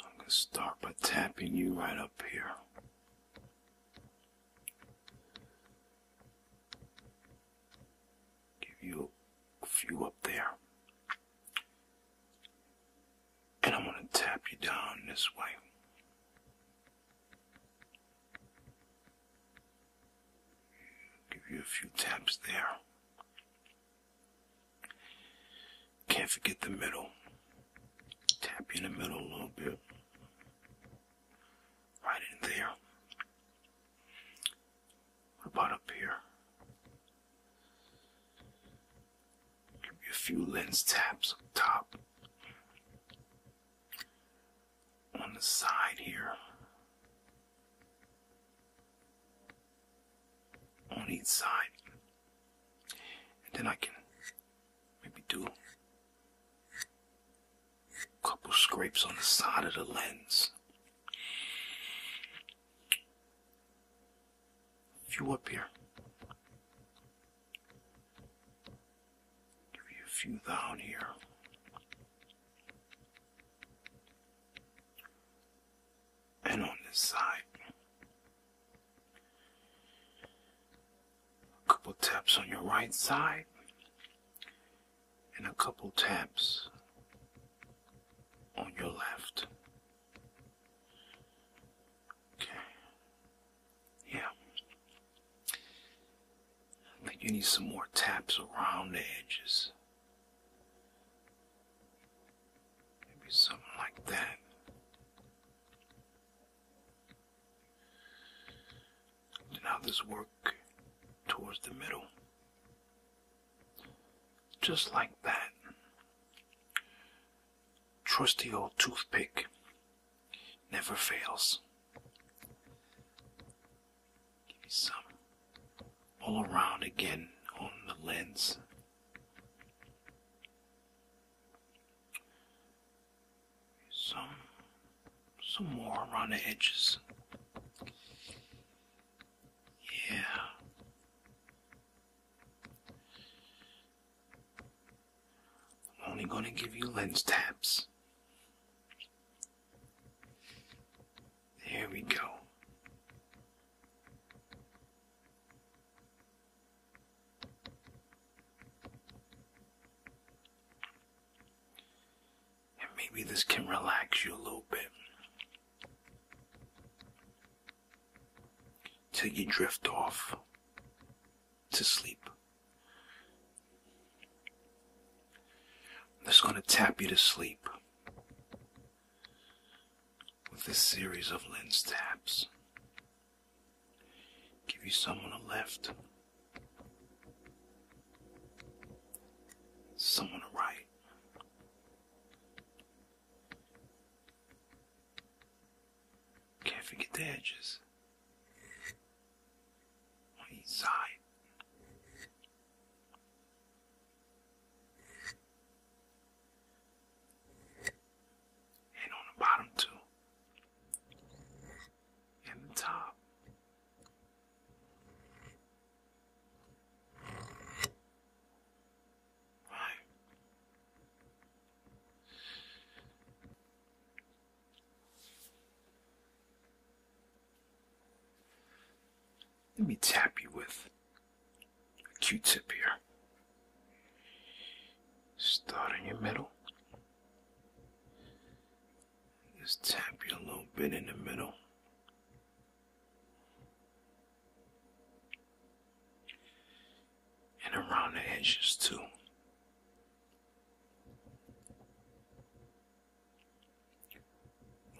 I'm going to start by tapping you right up here. Give you a few up there. And I'm going to tap you down this way. Give you a few taps there. Can't forget the middle. Tap you in the middle a little bit. Right in there. What about up here? Give you a few lens taps up top. On the side here on each side. And then I can maybe do a couple scrapes on the side of the lens. A few up here. Give you a few down here and on this side. A couple taps on your right side and a couple taps on your left. Okay. Yeah. I think you need some more taps around the edges. Maybe something like that. And now this work towards the middle. Just like that. Trusty old toothpick never fails give you some all around again on the lens. Some, some more around the edges. Yeah. I'm only gonna give you lens taps. There we go. And maybe this can relax you a little bit. Till you drift off to sleep. That's going to tap you to sleep with this series of lens taps. Give you some on the left, some on the right. Can't forget the edges on And on the bottom too. And the top. Right. Let me tap you with a Q-tip here. Start in your middle. Just tap you a little bit in the middle. And around the edges too.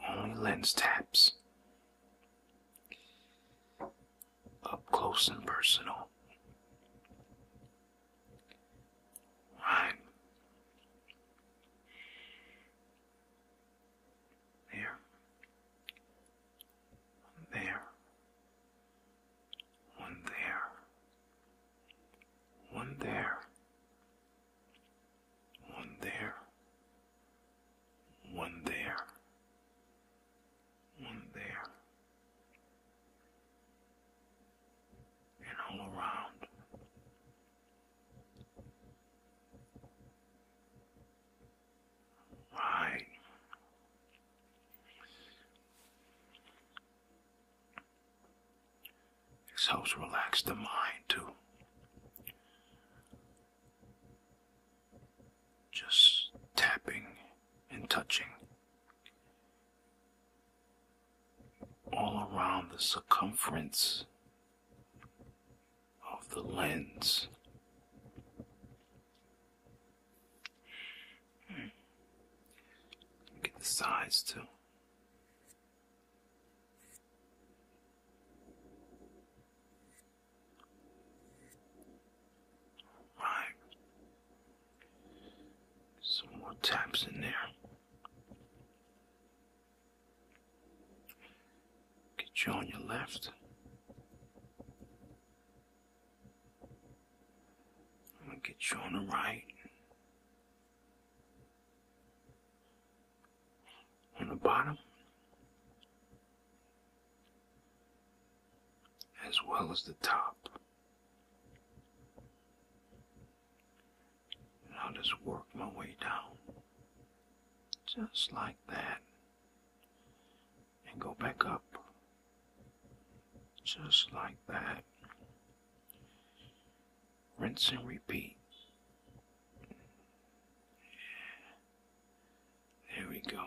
Only lens taps. Up close and personal. Right. There. there. One there. One there one there, one there, one there, and all around. Right. This helps relax the mind too. Just tapping and touching all around the circumference of the lens. Hmm. Get the sides too. Right. Some more taps in there. Get you on your left. I'm gonna get you on the right on the bottom, as well as the top. And I'll just work my way down, just like that, and go back up, just like that rinse and repeat. There we go.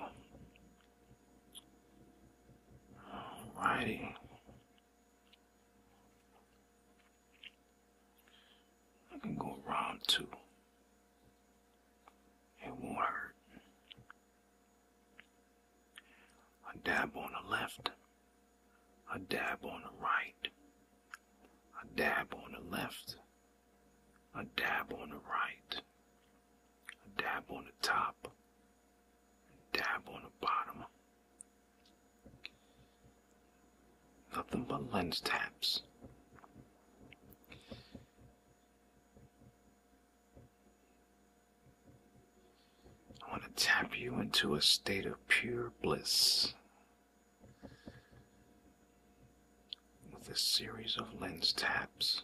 Alrighty. I can go round two. It won't hurt a dab on the left, a dab on the right, a dab on the left, a dab on the right, a dab on the top, a dab on the bottom. Nothing but lens taps. I want to tap you into a state of pure bliss with a series of lens taps.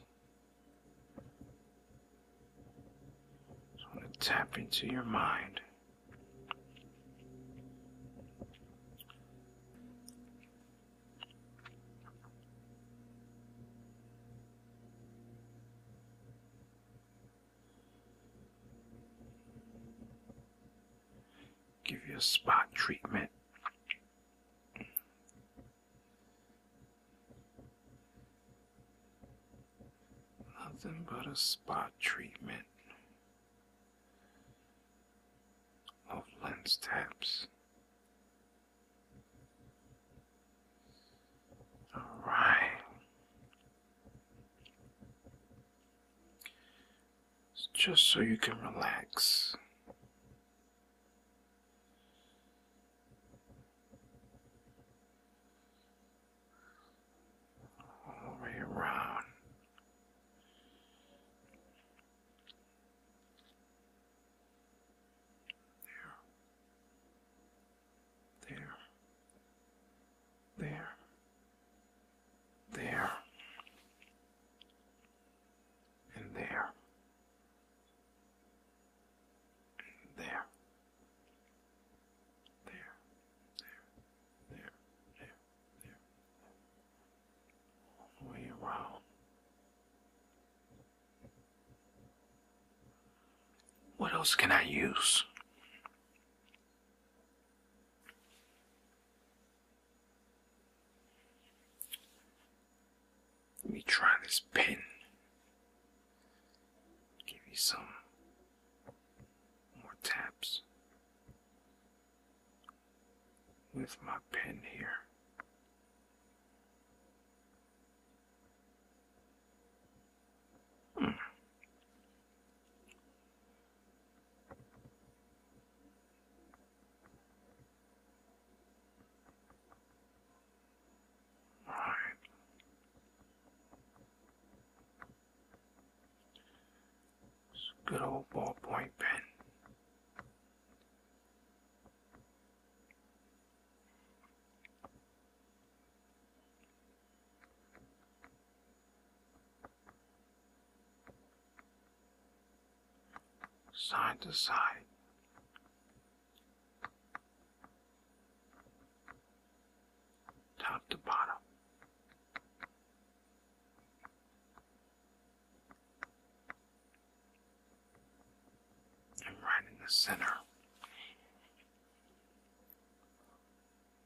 I want to tap into your mind. Give you a spot treatment. Nothing but a spot treatment of lens taps. All right. just so you can relax. All the way around. There. There. There. There. And there. there. There. There. There. There. There. All the way around. What else can I use? Let me try this pen. Give you some more taps with my pen here. Hmm. good old ballpoint pen side to side. Top to bottom and right in the center.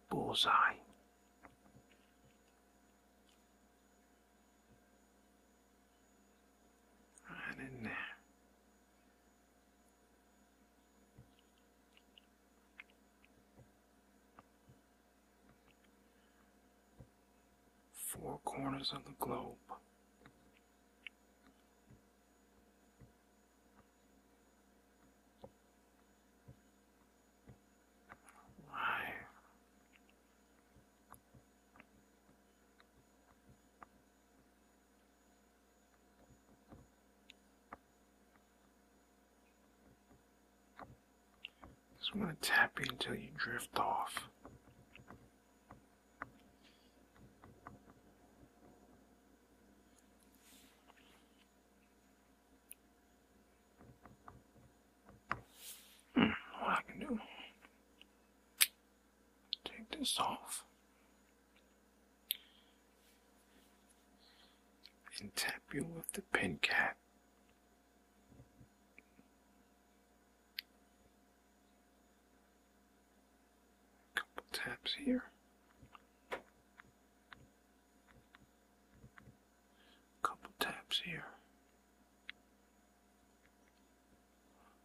Bullseye. Right in there. Four corners of the globe. Just want to tap you until you drift off. Hmm, what I can do? Take this off. And tap you with the pin cap a couple taps here. A couple taps here.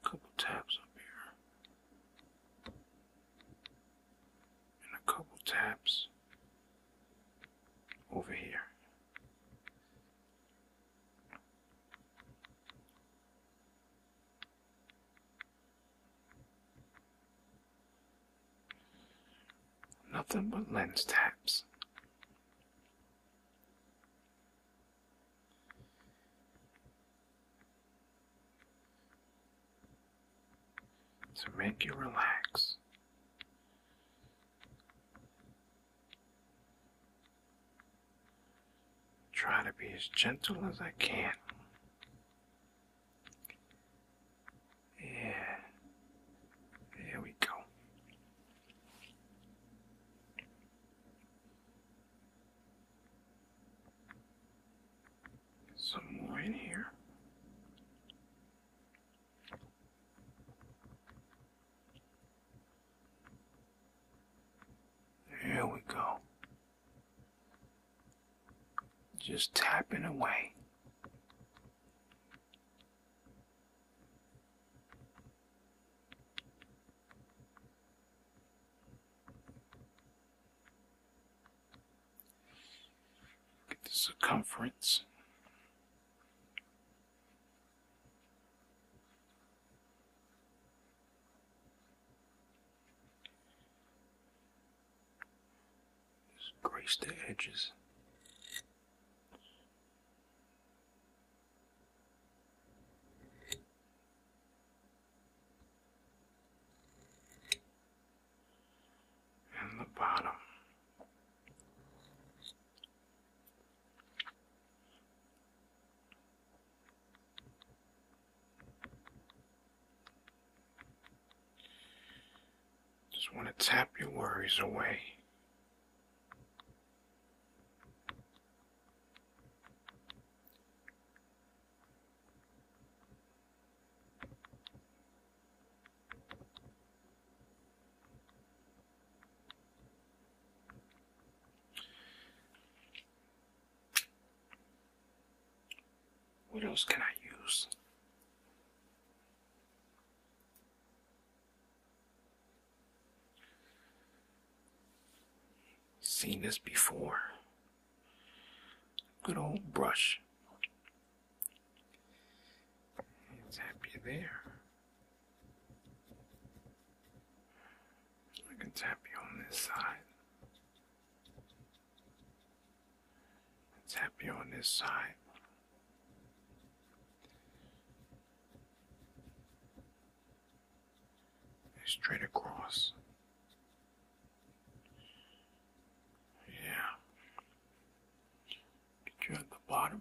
couple taps up here. And a couple taps over here. Nothing but lens taps. To make you relax. Try to be as gentle as I can. Yeah. There we go. Some more in here. Here we go. Just tapping away. Get the circumference. Just grace the edges. And the bottom. Just want to tap your worries away. What else can I use? Seen this before. Good old brush. It's happy there. I can tap you on this side. And tap you on this side. straight across. Yeah. Get you at the bottom.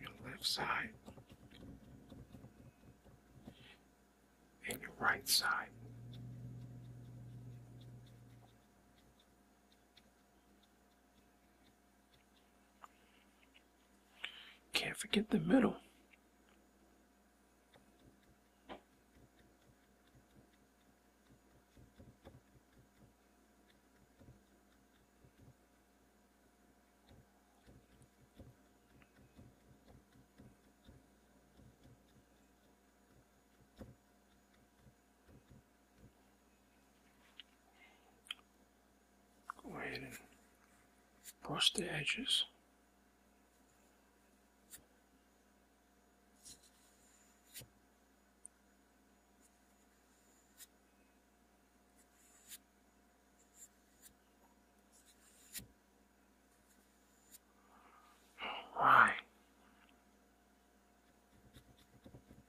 your left side, and your right side. Can't forget the middle. Go ahead and brush the edges. Why?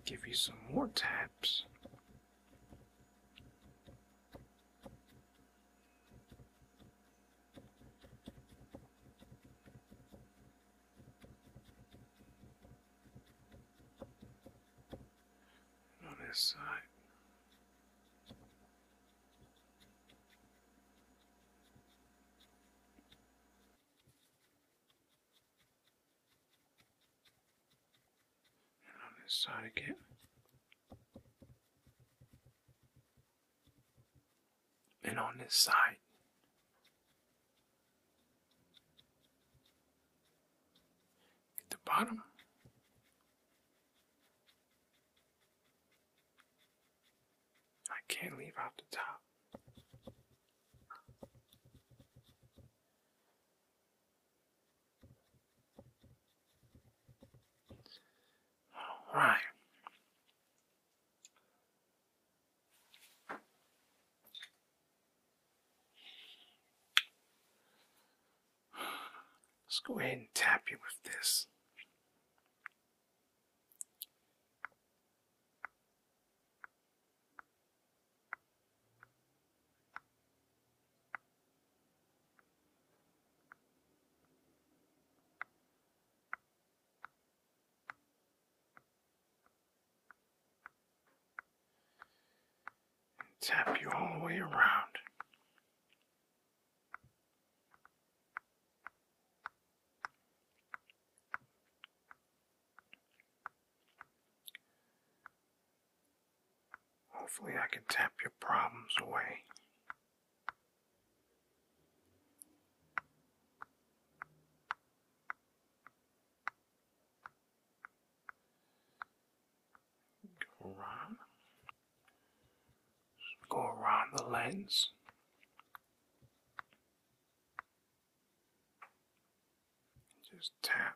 Give you some more taps on this side. And on this side again. And on this side at the bottom. I can't leave out the top. All right. Let's go ahead and tap you with this tap you all the way around. Hopefully, I can tap your problems away. Go around. go around the lens. Just tap.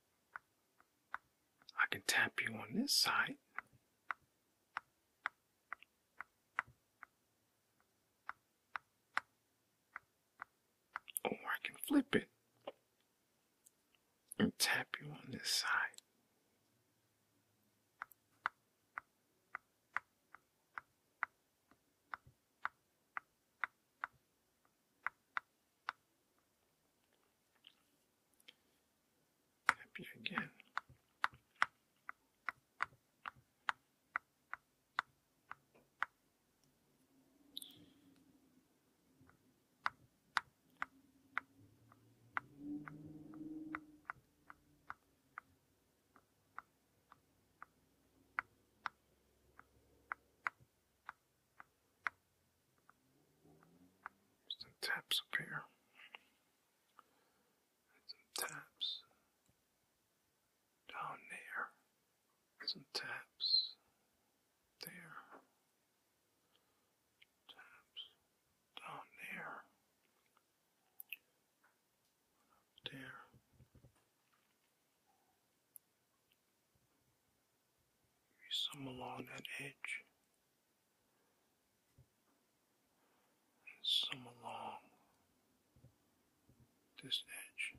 I can tap you on this side. Or I can flip it and tap you on this side. Happy again some taps up here. some taps down there. Some taps there. Taps down there. there some along that edge, and some along this edge.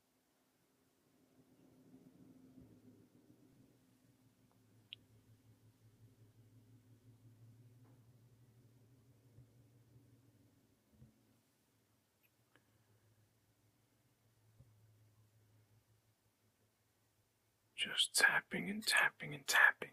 Just tapping and tapping and tapping.